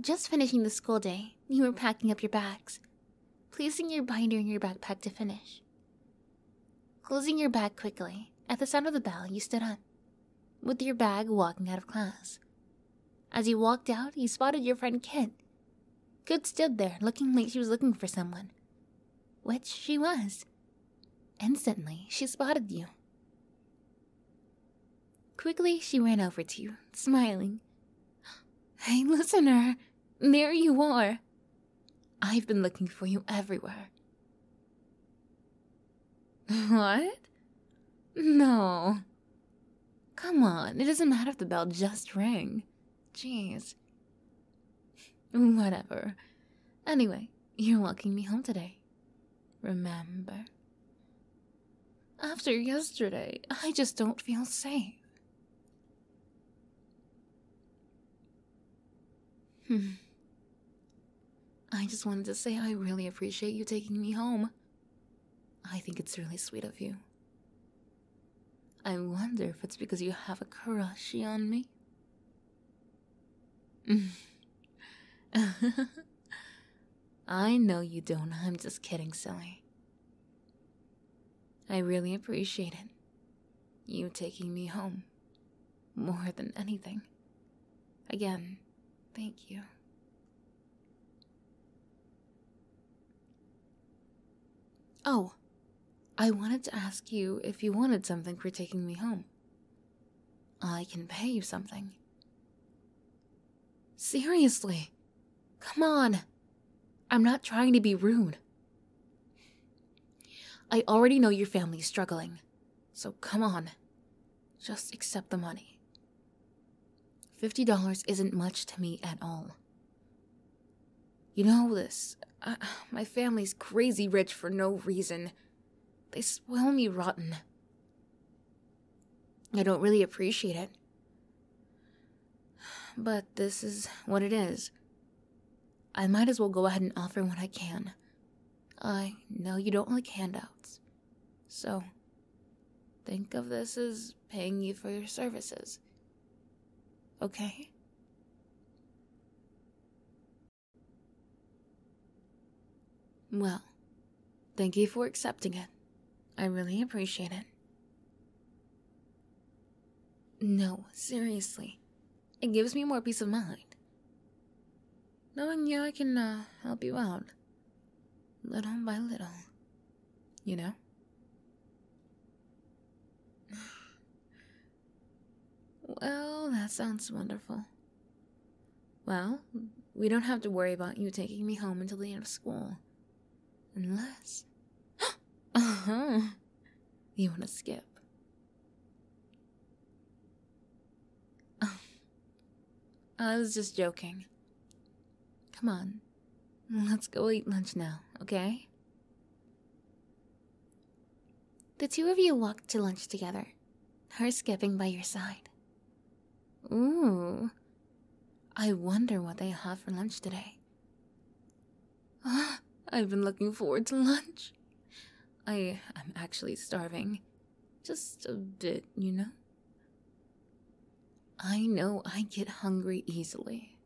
Just finishing the school day, you were packing up your bags, placing your binder in your backpack to finish. Closing your bag quickly, at the sound of the bell, you stood up, with your bag walking out of class. As you walked out, you spotted your friend Kit. Kit stood there, looking like she was looking for someone, which she was. Instantly, she spotted you. Quickly, she ran over to you, smiling. Hey, listener, there you are. I've been looking for you everywhere. What? No. Come on, it doesn't matter if the bell just rang. Jeez. Whatever. Anyway, you're walking me home today. Remember? After yesterday, I just don't feel safe. Hmm. I just wanted to say I really appreciate you taking me home. I think it's really sweet of you. I wonder if it's because you have a crush on me. Hmm. I know you don't. I'm just kidding, silly. I really appreciate it. You taking me home. More than anything. Again, thank you. Oh, I wanted to ask you if you wanted something for taking me home. I can pay you something. Seriously. Come on. I'm not trying to be rude. I already know your family's struggling, so come on. Just accept the money. $50 isn't much to me at all. You know this. my family's crazy rich for no reason. They spoil me rotten. I don't really appreciate it. But this is what it is. I might as well go ahead and offer what I can. I know you don't like handouts. So, think of this as paying you for your services. Okay? Well, Thank you for accepting it. I really appreciate it. No, seriously. It gives me more peace of mind. Knowing you, I can uh, help you out. Little by little. You know? well, that sounds wonderful. Well, we don't have to worry about you taking me home until the end of school. Unless. Uh-huh. You want to skip? Oh. I was just joking. Come on. Let's go eat lunch now, okay? The two of you walked to lunch together, her skipping by your side. Ooh. I wonder what they have for lunch today. Ah, I've been looking forward to lunch. I am actually starving. Just a bit, you know? I know I get hungry easily.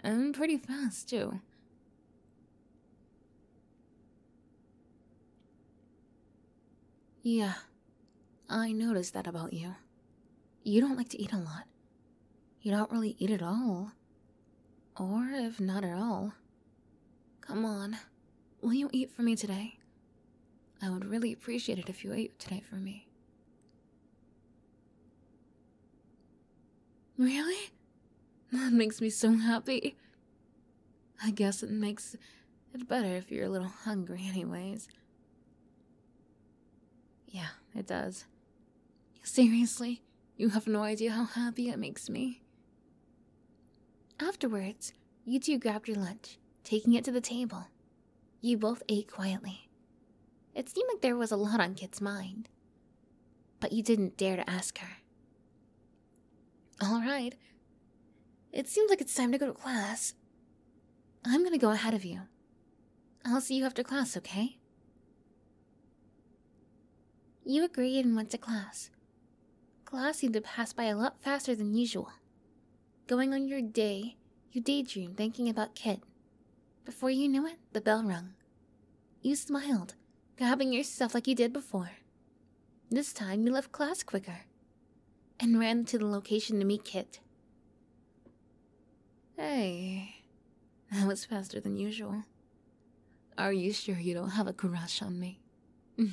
And pretty fast, too. Yeah, I noticed that about you. You don't like to eat a lot. You don't really eat at all. Or if not at all. Come on, will you eat for me today? I would really appreciate it if you ate today for me. Really? That makes me so happy. I guess it makes it better if you're a little hungry, anyways. Yeah, it does. Seriously, you have no idea how happy it makes me. Afterwards, you two grabbed your lunch, taking it to the table. You both ate quietly. It seemed like there was a lot on Kit's mind. But you didn't dare to ask her. Alright. It seems like it's time to go to class. I'm gonna go ahead of you. I'll see you after class, okay? You agreed and went to class. Class seemed to pass by a lot faster than usual. Going on your day, you daydreamed thinking about Kit. Before you knew it, the bell rung. You smiled, grabbing yourself like you did before. This time, you left class quicker and ran to the location to meet Kit. Hey, that was faster than usual. Are you sure you don't have a crush on me?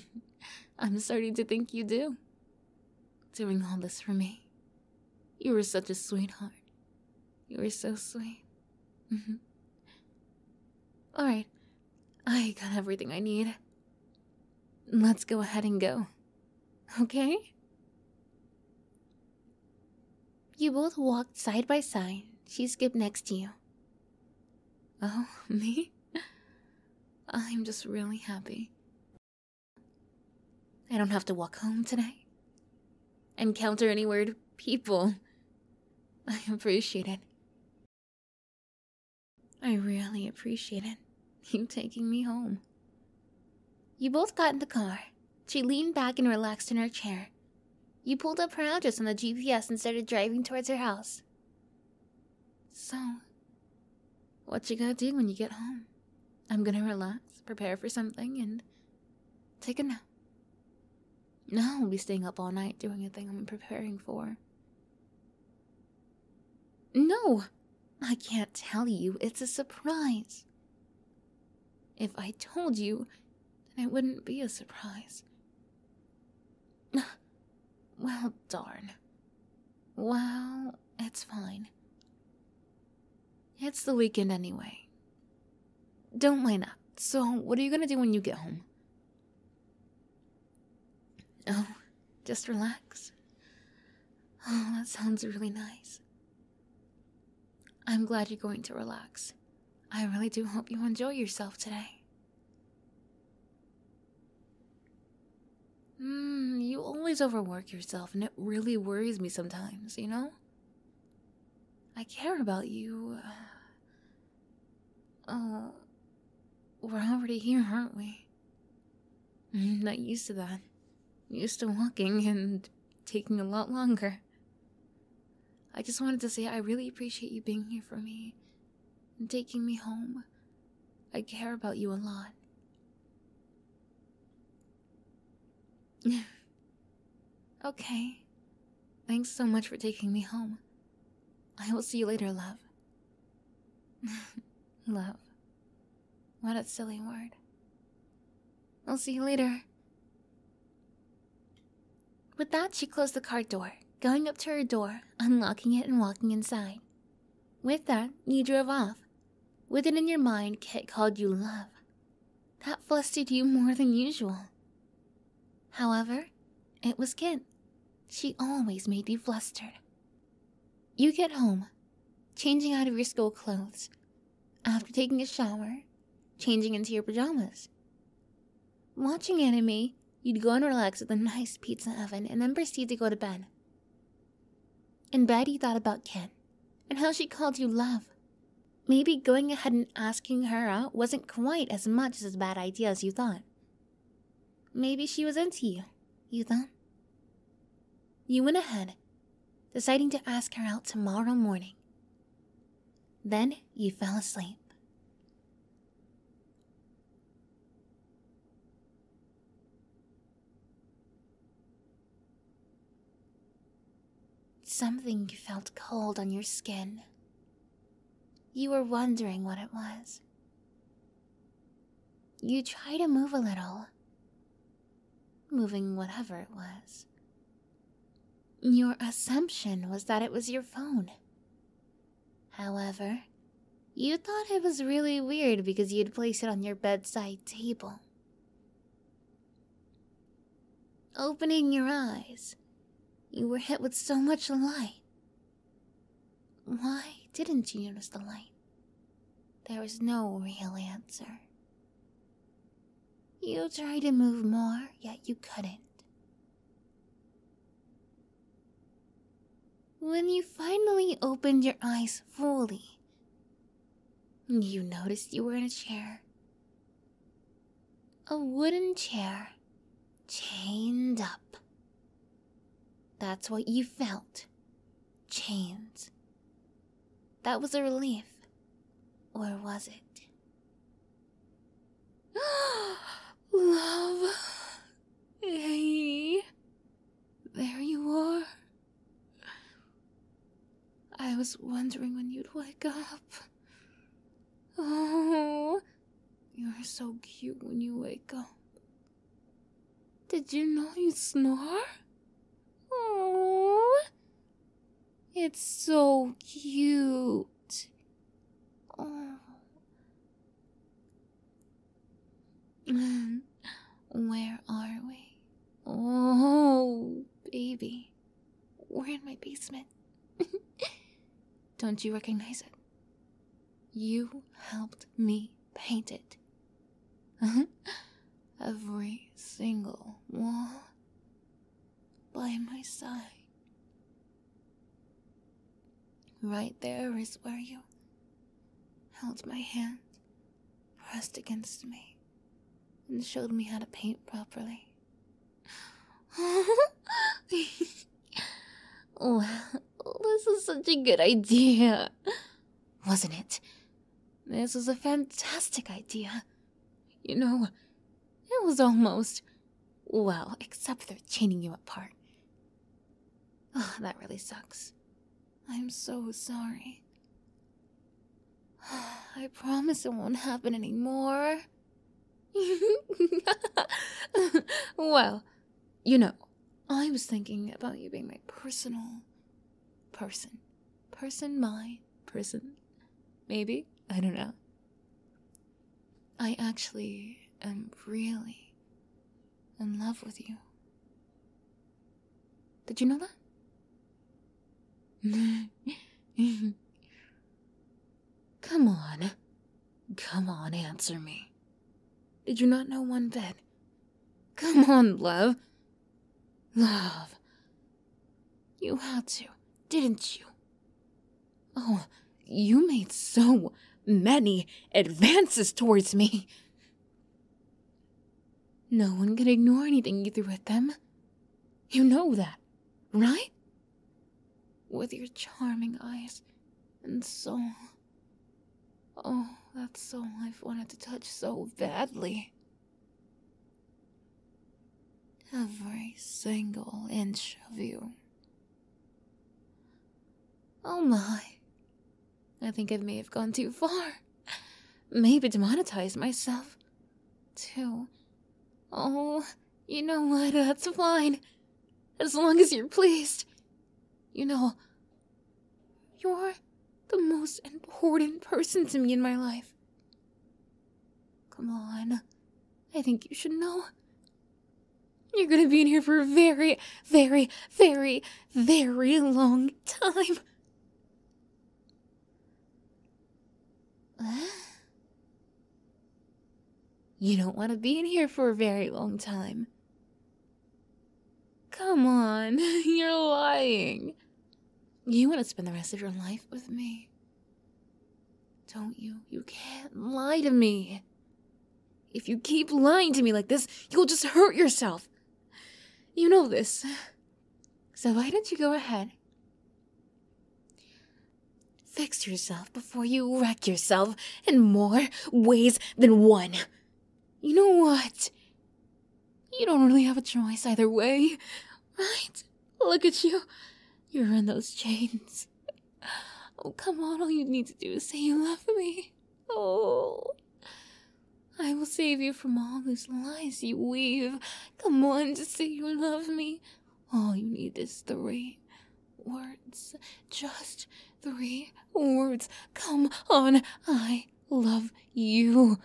I'm starting to think you do. Doing all this for me. You were such a sweetheart. You were so sweet. Alright, I got everything I need. Let's go ahead and go. Okay? You both walked side by side. She skipped next to you. Oh, me? I'm just really happy. I don't have to walk home today. Encounter any weird people. I appreciate it. I really appreciate it, you taking me home. You both got in the car. She leaned back and relaxed in her chair. You pulled up her address on the GPS and started driving towards her house. So, what you gonna do when you get home? I'm gonna relax, prepare for something, and take a nap. No, I'll be staying up all night doing a thing I'm preparing for. No! I can't tell you, it's a surprise. If I told you, then it wouldn't be a surprise. Well, darn. Well, it's fine. It's the weekend anyway. Don't mind that. So, what are you gonna do when you get home? Oh, just relax. Oh, that sounds really nice. I'm glad you're going to relax. I really do hope you enjoy yourself today. Mmm, you always overwork yourself, and it really worries me sometimes, you know? I care about you. Oh, we're already here, aren't we? I'm not used to that. used to walking and taking a lot longer. I just wanted to say I really appreciate you being here for me and taking me home. I care about you a lot. okay. Thanks so much for taking me home. I will see you later, love. love. What a silly word. I'll see you later. With that, she closed the cart door, going up to her door, unlocking it, and walking inside. With that, you drove off. With it in your mind, Kit called you love. That flustered you more than usual. However, it was Kit, she always made you flustered. You get home, changing out of your school clothes, after taking a shower, changing into your pajamas. Watching anime, you'd go and relax at the nice pizza oven and then proceed to go to bed. In bed, you thought about Ken and how she called you love. Maybe going ahead and asking her out wasn't quite as much as a bad idea as you thought. Maybe she was into you. You thought? You went ahead, deciding to ask her out tomorrow morning. Then you fell asleep. Something felt cold on your skin. You were wondering what it was. You try to move a little, moving whatever it was. Your assumption was that it was your phone. However, you thought it was really weird because you'd placed it on your bedside table. Opening your eyes, you were hit with so much light why didn't you notice the light? There was no real answer. You tried to move more, yet you couldn't. When you finally opened your eyes fully, you noticed you were in a chair. A wooden chair chained up. That's what you felt. Chains. That was a relief. Or was it? Love. Hey. There you are. I was wondering when you'd wake up. Oh. You're so cute when you wake up. Did you know you snore? Oh, it's so cute. Oh. Where are we? Oh, baby. We're in my basement. Don't you recognize it? You helped me paint it. Every single wall by my side. Right there is where you held my hand, pressed against me, and showed me how to paint properly. Oh, this is such a good idea, wasn't it? This is a fantastic idea. You know, it was almost. Well, except for chaining you apart. Oh, that really sucks. I'm so sorry. I promise it won't happen anymore. well, you know, I was thinking about you being my personal person. Person, my person. Maybe? I don't know. I actually am really in love with you. Did you know that? Come on. Come on, answer me. Did you not know one bit? Come on, love. Love. You had to, didn't you? Oh, you made so many advances towards me. No one could ignore anything you threw at them. You know that, right? with your charming eyes and soul. Oh, that soul I've wanted to touch so badly. Every single inch of you. Oh my. I think I may have gone too far. Maybe demonetized myself. Too. Oh. You know what? That's uh, fine. As long as you're pleased. You know, you're the most important person to me in my life. Come on. I think you should know. You're gonna be in here for a very, very, very, very long time. You don't want to be in here for a very long time. Come on, you're lying. You want to spend the rest of your life with me. Don't you? You can't lie to me. If you keep lying to me like this, you'll just hurt yourself. You know this. So why don't you go ahead? Fix yourself before you wreck yourself in more ways than one. You know what? You don't really have a choice either way, right? Look at you. You're in those chains. Oh, come on, all you need to do is say you love me. Oh. I will save you from all those lies you weave. Come on, to say you love me. All you need is three words. Just three words. Come on, I love you.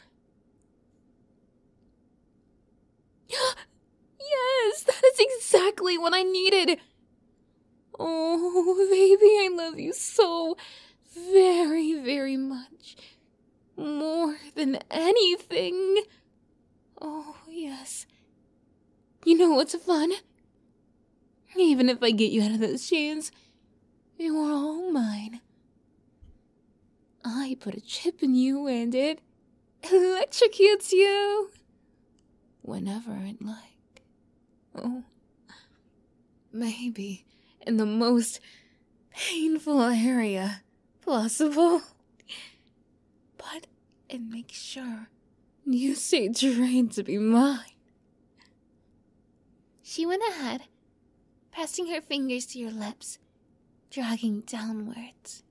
yes, that is exactly what I needed. Oh, baby, I love you so very, very much. More than anything. Oh, yes. You know what's fun? Even if I get you out of those chains, you are all mine. I put a chip in you and it electrocutes you whenever it would like. Oh, maybe in the most painful area possible but and make sure you say Drain to be mine. She went ahead, passing her fingers to your lips, dragging downwards.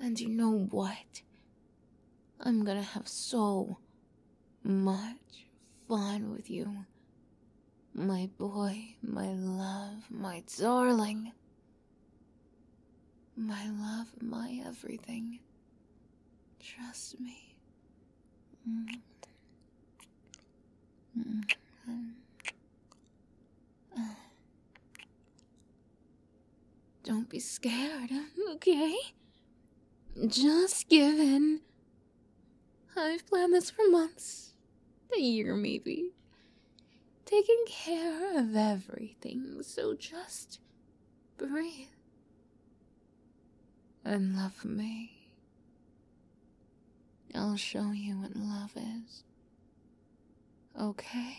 And you know what? I'm gonna have so much fun with you. My boy, my love, my darling. My love, my everything. Trust me. Don't be scared, okay? Just give in. I've planned this for months, a year maybe. Taking care of everything, so just breathe and love me. I'll show you what love is. Okay?